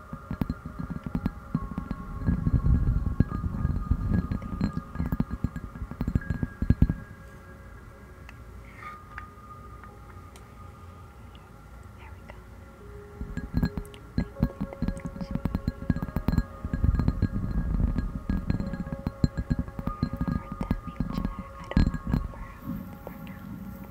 I don't remember the pronounce, but I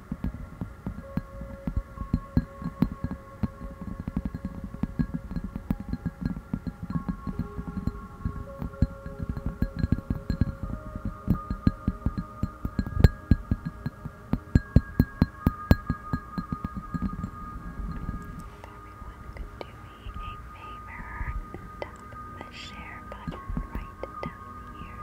everyone could do me a favor and tap the share button right down here.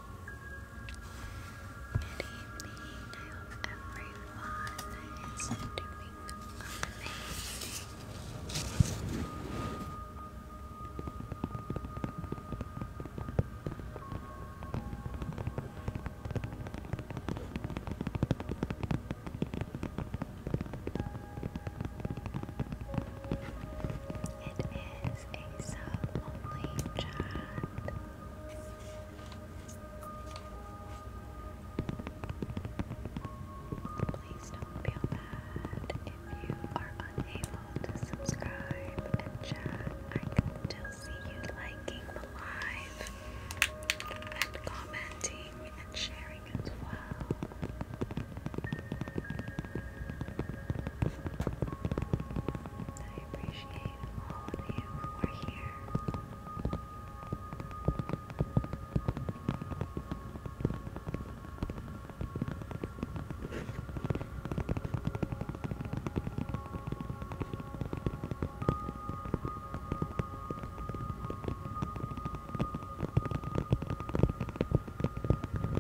Good evening. I hope is doing amazing. It is a sub only chat. Please don't feel bad if you are unable to subscribe and chat. I can still see you liking live and commenting and sharing as well. I appreciate all of you who are here.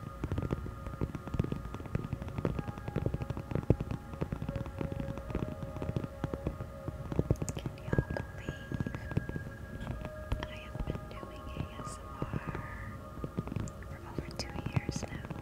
Can you believe I have been doing ASMR for over two years now?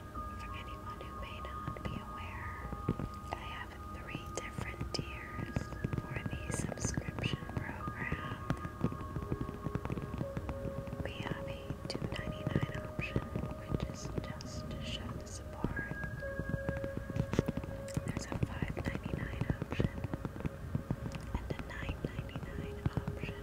For anyone who may not be aware, I have three different tiers for the subscription program. We have a $2.99 option, which is just to show the support. There's a $5.99 option and a $9.99 option.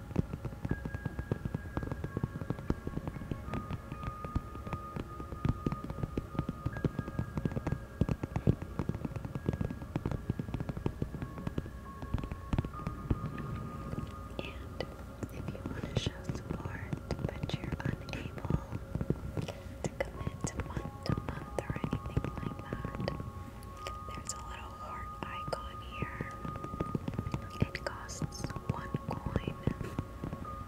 And if you want to show support, but you're unable to commit month to month or anything like that, there's a little heart icon here. It costs one coin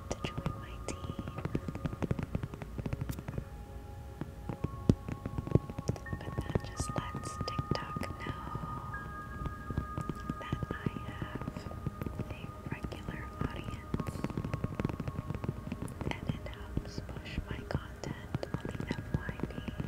to join my team. But that just lets TikTok know that I have a regular audience and it helps push my content on the FYP.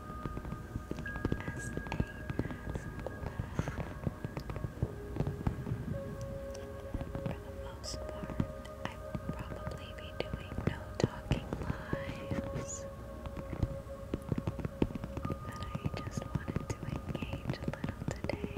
as a For the most part, I will probably be doing no talking lives. But I just wanted to engage a little today.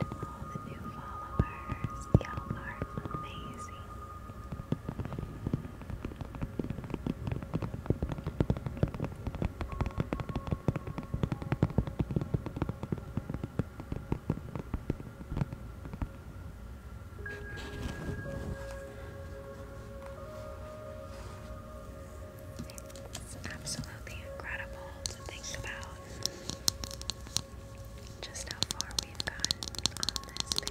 and all the new followers. Y'all are amazing. It's absolutely incredible to think about just how far we've gone on this page.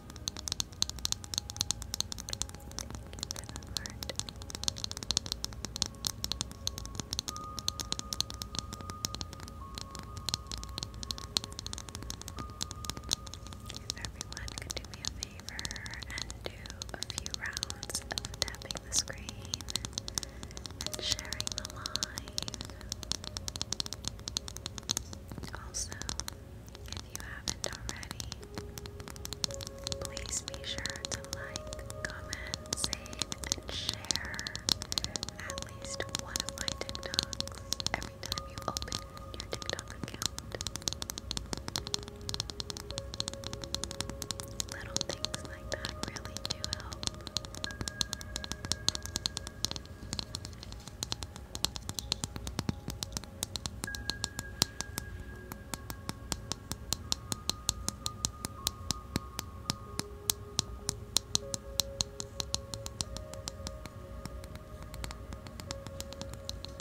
If everyone could do me a favor and do a few rounds of tapping the screen and sharing the live. Also, you haven't already. Please be sure to like, comment, save, and share at least one of my TikToks every time you open your TikTok account. Little things like that really do help.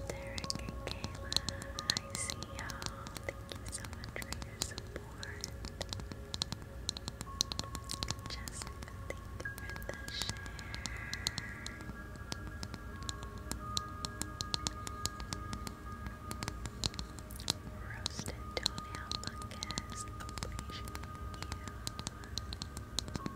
Derek and Kayla, I see y'all. Thank you so much for your support. Jessica, for the share. Roasted toenail fungus, appreciate you. Thank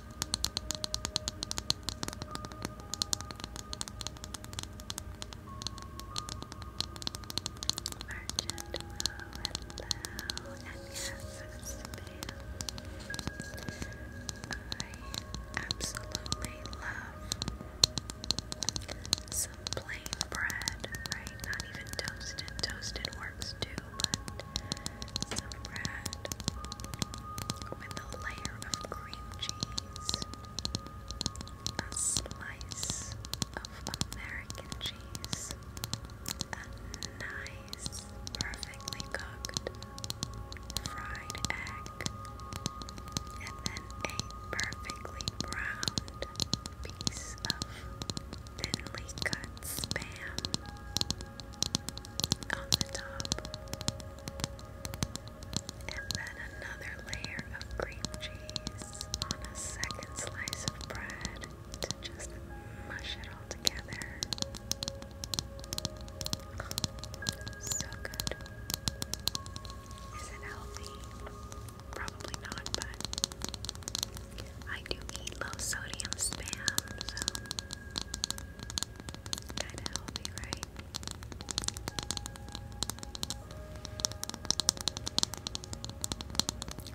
Merchant, hello, and yes, I absolutely love some plain bread, right? Not even toasted. Toasted works too, but some bread with a layer of cream cheese, a slice of American cheese, a nice, perfectly cooked fried egg, and then a perfectly browned piece of thinly cut spam on the top. And then another layer of cream cheese on a second slice of bread to just mush it all together. So good. Is it healthy? Probably not, but I do eat low sodium spam, so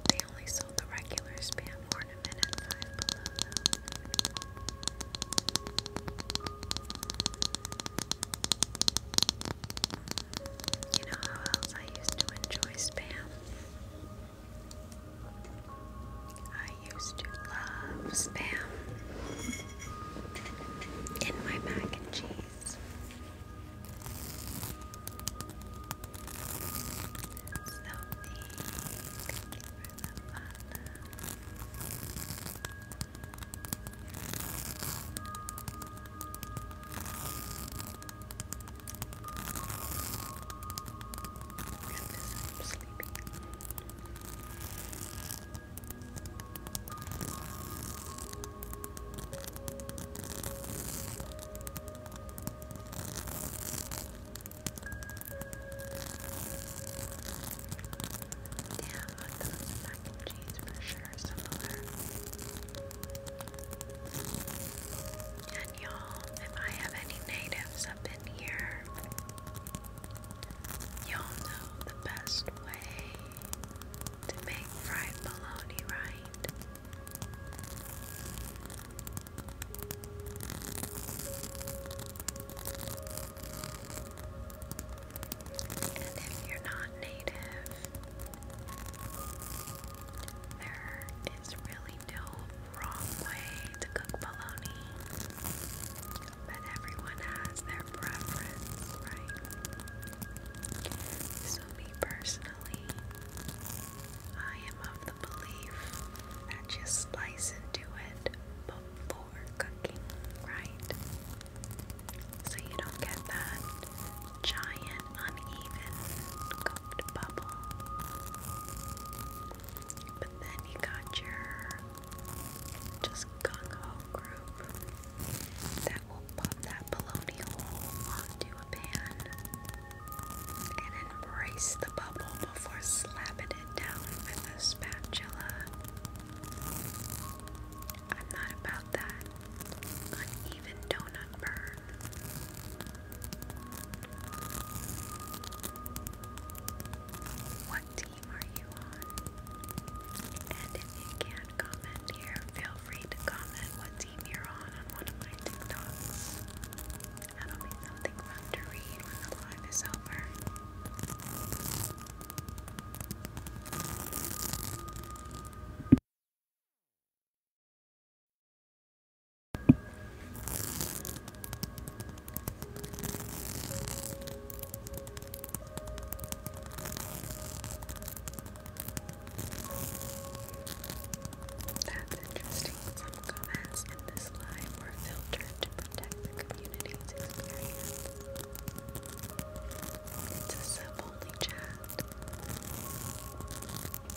they only sold the regular spam ornament at five below You know how else I used to enjoy spam? I I used to love spam in my mac and cheese. Sophie, thank for the Good, I'm sleepy those mac and cheese for sure And y'all, if I have any natives up in here, Y'all know the best way to make fried bologna, right? And if you're not native, there is really no wrong way to cook bologna. But everyone has their preference, right? So, me personally, I am of the belief that you slice into it before cooking, right? So you don't get that giant, uneven cooked bubble. But then you got your just gung ho group that will pop that bologna hole onto a pan and embrace the bubble before slapping it down with a spatula. I'm not about that uneven donut burn. What do team are you on? And if you can't comment here, feel free to comment what team you're on on one of my TikToks. That'll be something fun to read when the live is over. That's interesting. Some comments in this live were filtered to protect the community's experience. It's a sub-only chat. Thank you,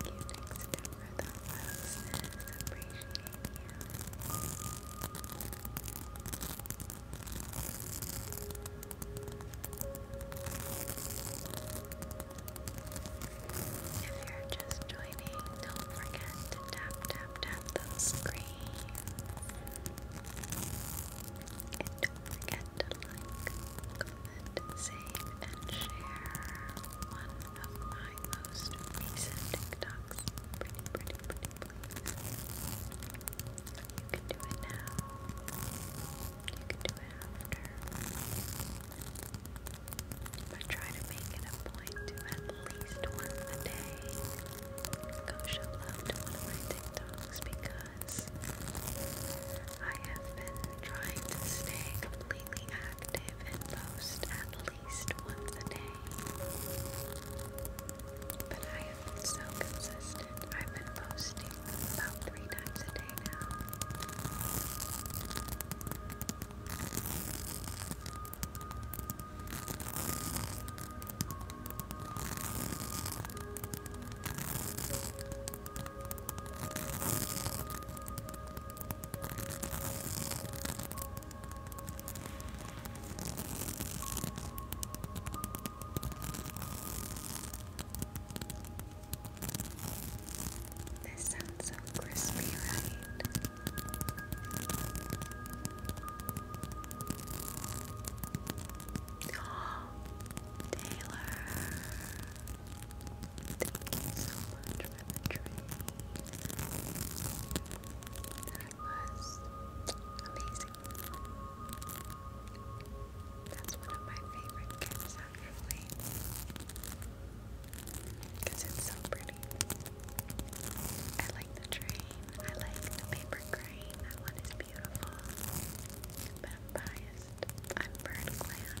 next for the roses. Appreciate if you're just joining, don't forget to tap, tap, tap those screens. And don't forget to like, comment, save, and share one of my most recent TikToks. Pretty, pretty, pretty, you can do it now. You can do it after. But try to make it a point to at least once a day go show one of my TikToks because I have been trying to stay completely active and post at least once a day. But I have been so consistent. I've been posting about three times a day now. This sounds so crispy, right? Taylor, thank you so much for the dream was amazing. That's one of my favorite gifts, actually, because it's so pretty. I like the train, I like the paper crane, that one is beautiful, but I'm biased. I'm Bird Clan.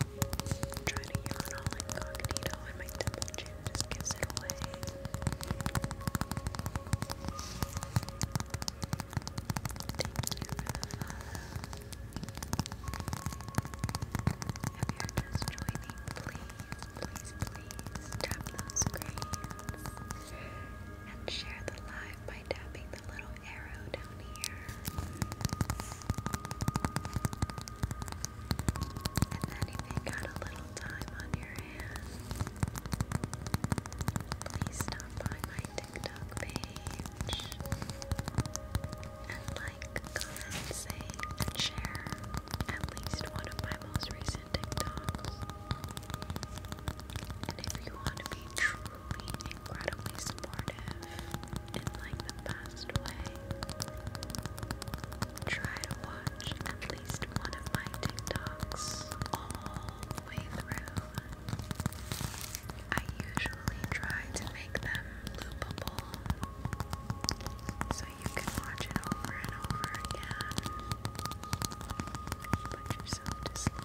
I'm trying to yawn all incognito and my double chin just gives it away. Thank you If you're just joining, please, please, please tap those screens and share the live by tapping the little arrow down here. And then if you got a little time on your hands, please stop by my TikTok page and like, comment, say, and share at least one of my most recent TikToks. And if you want to be truly incredibly supportive in like the best way. Try to watch at least one of my TikToks all the way through. I usually try to make them loopable so you can watch it over and over again. Put yourself to sleep.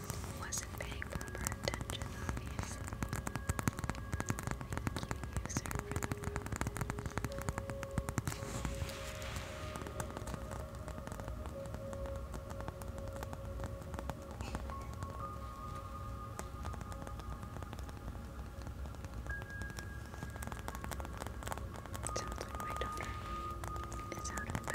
wasn't paying proper attention, obviously. Thank you, user, for Sounds like my daughter is out of bed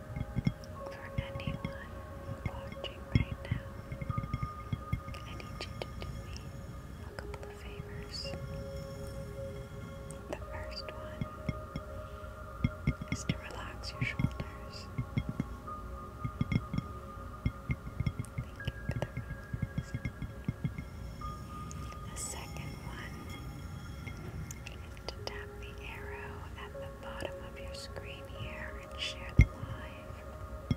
for anyone watching right now, I you do me a couple of favors. The first one is to relax your shoulders. Thank you for the rose. one is to tap the arrow at the bottom of your screen here and share the live.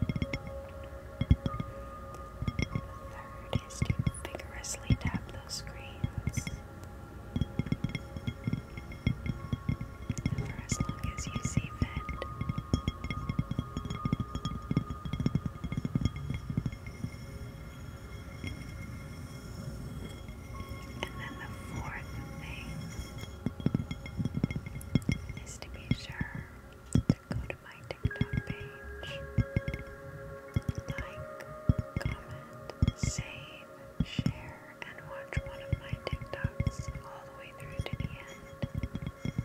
The third is to vigorously tap those screens. For as long as you see fit. And then the fourth thing is to be sure to go to my TikTok page, like, comment, save, share, and watch one of my TikToks all the way through to the end. Thank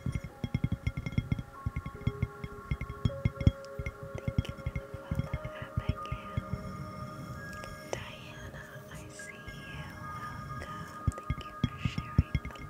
you for the follow, Abigail. Diana, see you. Welcome. Thank you for sharing the live.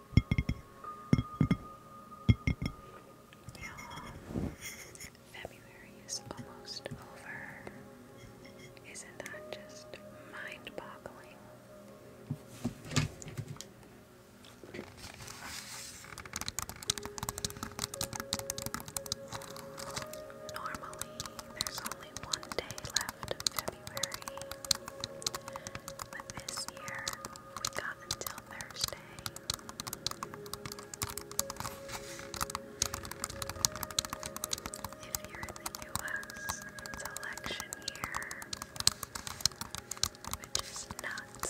Yeah. February is almost over. Isn't that just mind boggling? Normally, there's only one day left of February, but this year, we got until Thursday. If you're in the US, election year, which is nuts.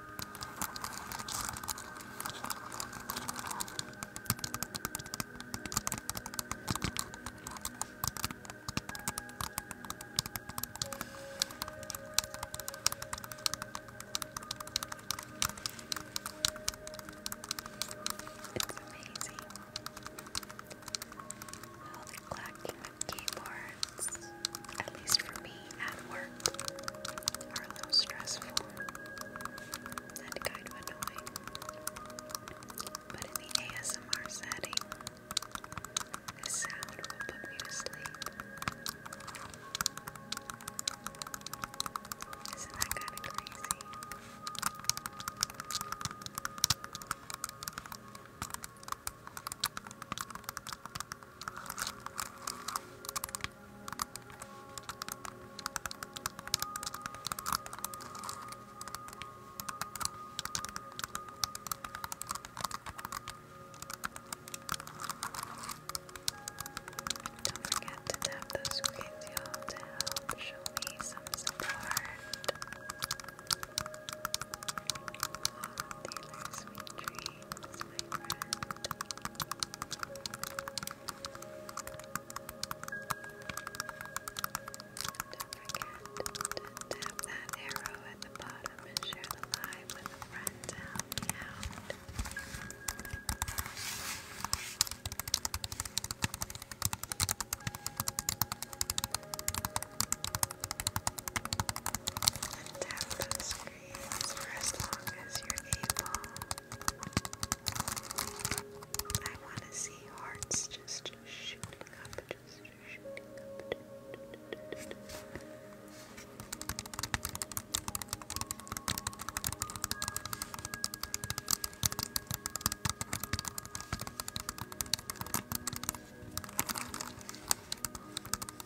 It's amazing how the clacking of keyboards, at least for me, me at work are low stressful and kind of annoying. But in the ASMR setting, this sound will put me to sleep. Isn't that kind of crazy? Don't forget to tap those screens, y'all, to help show me some support. Taylor, sweet dreams, my tap that arrow at the bottom and share the live with a friend to help me creates as long as you're able. I want to see hearts just shooting up, just shooting up.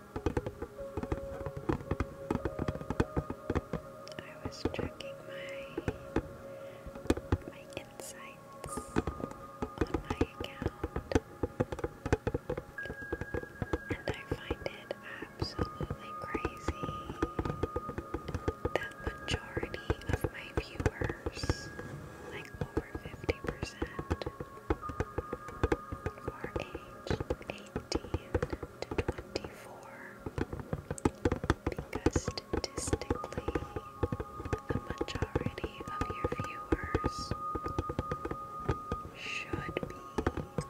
I was checking my my insights on my account and I find it absolutely crazy that majority of my viewers, like over 50%, are age 18 to 24 because statistically the majority of your viewers should be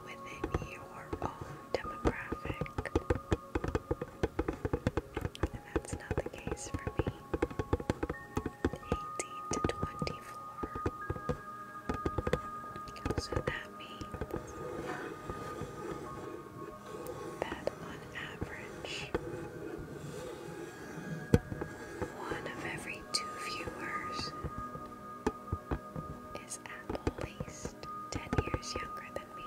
within your own demographic. And that's not the case for me the 18th to 20 So that means that on average, one of every two viewers is at least 10 years younger than me.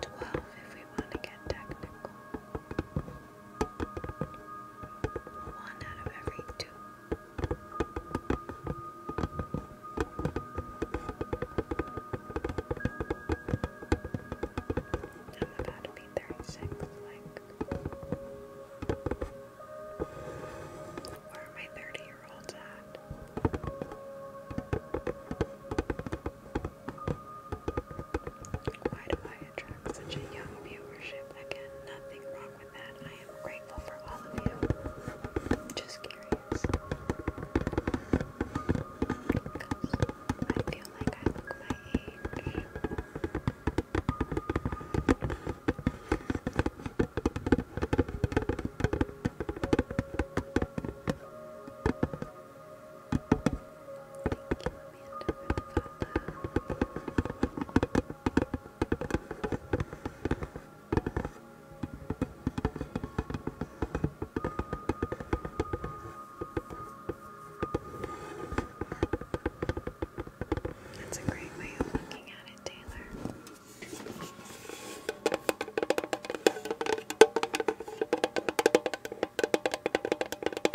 Twelve, if we want to get technical. One out of every two. I'm about to be 36, where are my 30 year olds at? Why do I attract such a young viewership? Again, nothing wrong with that. I am grateful for all of you. Just curious. Because I feel like I look my age. That's a great way of looking at it, Taylor.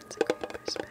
opens a great perspective.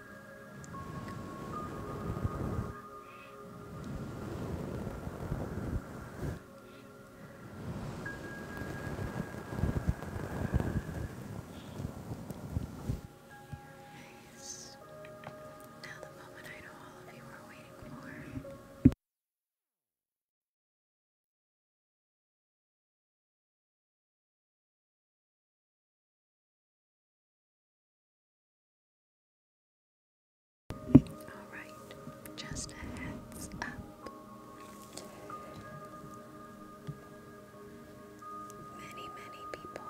Nice. Now the moment I know all of you are waiting for. Alright, just a heads up. Many, many people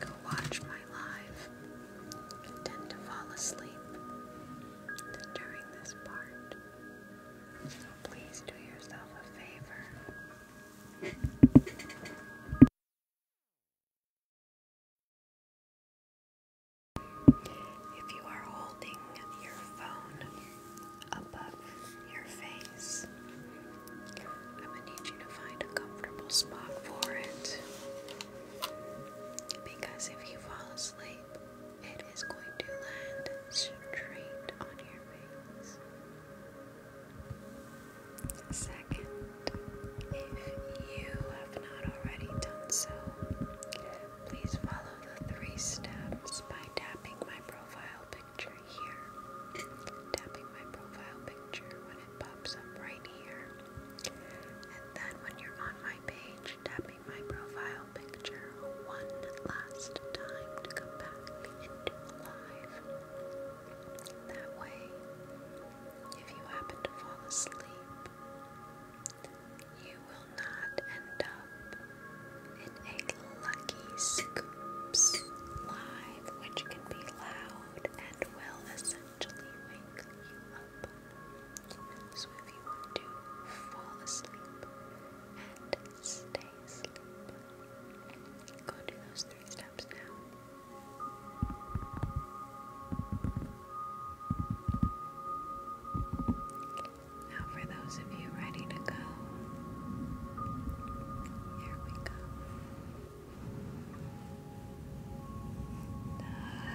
who watch my live tend to fall asleep during this part. So please do yourself a favor if you are holding your phone above your face, I'm going to need you to find a comfortable spot for it. Because if you fall asleep, it is going to land straight on your face. Second, if you have not already done so, please follow the three steps by tapping my profile picture here. Tapping my profile picture when it pops up right here. And then when you're on my page, tapping my profile picture one last time to come back into live. That way, if you happen to fall asleep, you will not end up in a lucky scoops live, which can be loud and will essentially wake you up. So if you want to fall asleep and stay asleep, go do those three steps steps now. for those of you ready to go, here we go. Five,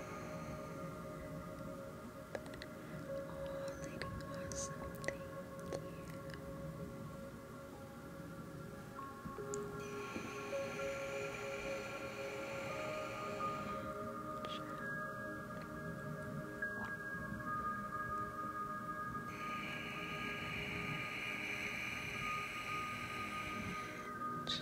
Oh, Lady Awesome, thank you. Ch Ch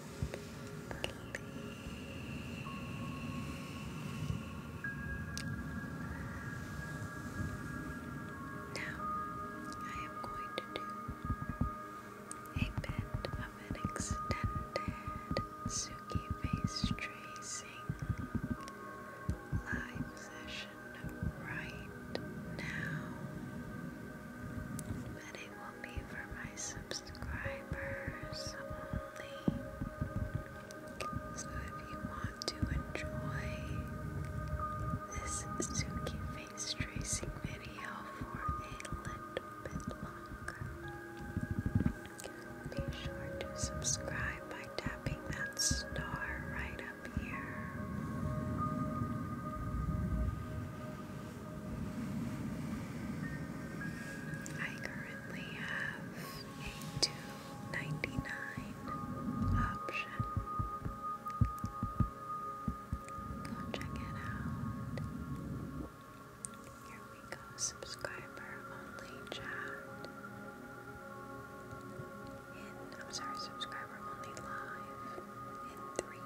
Now, I am going to do a bit of an extended Suki face tracing live session right now, but be for my subscribers only. So if you want to enjoy this Suki face tracing video for a little bit longer, be sure to subscribe by tapping that star right up here. I currently have a 2 option. Go check it out. Here we go, subscriber only chat. In, I'm sorry, subscriber only live in three,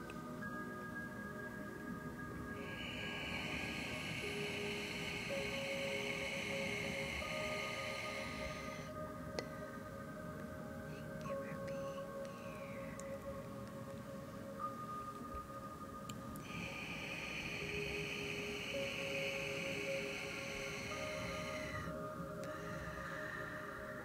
Thank you for being here. Bye.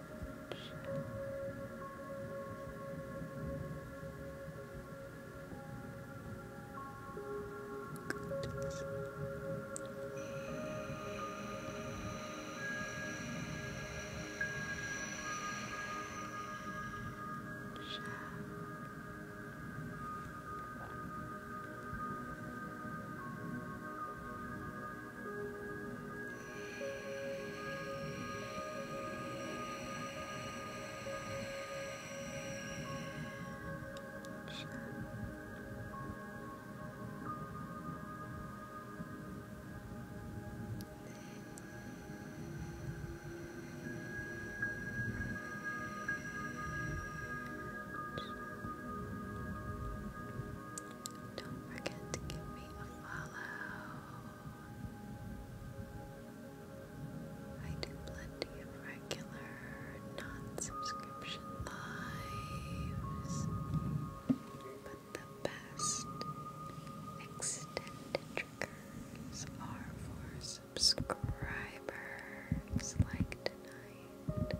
Shine. Don't forget to give me a follow. I do plenty of regular, non subscription lives, but the best extended triggers are for subscribers like tonight.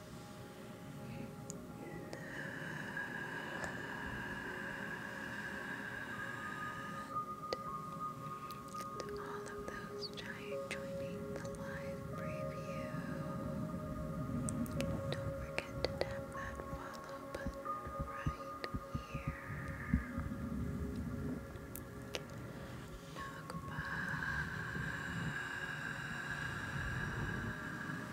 And to all of those giant joining the live preview, don't forget to tap that follow button right here. Now goodbye.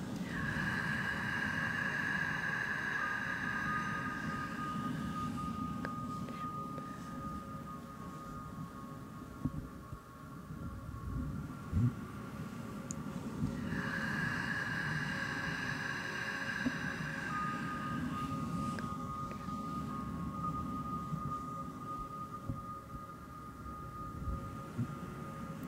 Good. Hmm.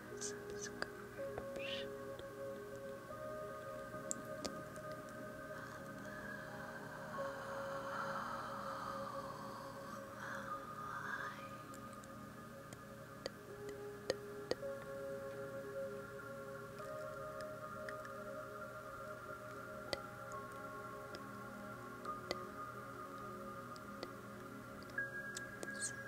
subscription. Sound.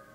Are you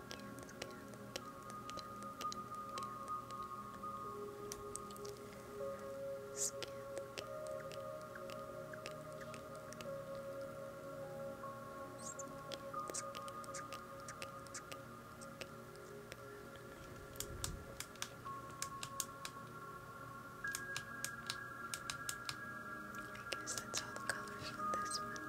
I guess that's all the colors on this one.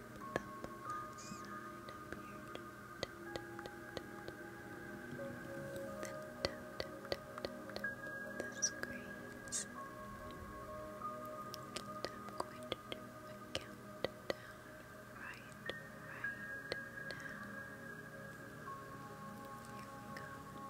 the plus sign appeared. Then tap tap tap tap tap the screens. And I'm going to do a countdown right right now. Here we go. Ten, nine,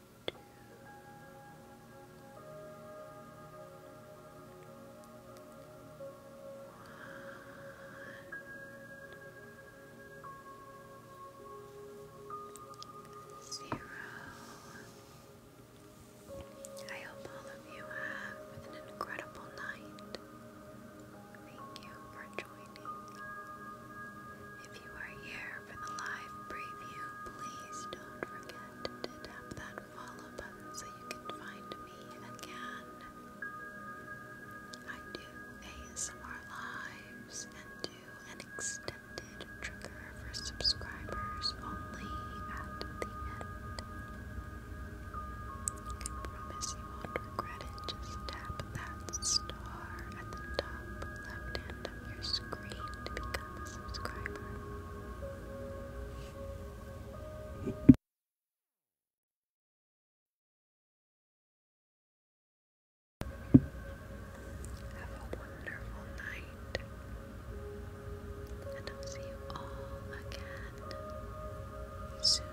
two, one, zero. I hope all of you have an incredible night. Thank you for joining. If you are here for the live preview. Please don't forget to tap that follow button so you can find me again. I do ASMR lives and do an extended trigger for subscribers only at the end. I promise you won't regret it. Just tap that star at the top left hand bottom of a subscriber. Have a wonderful night, and I'll see you all again soon.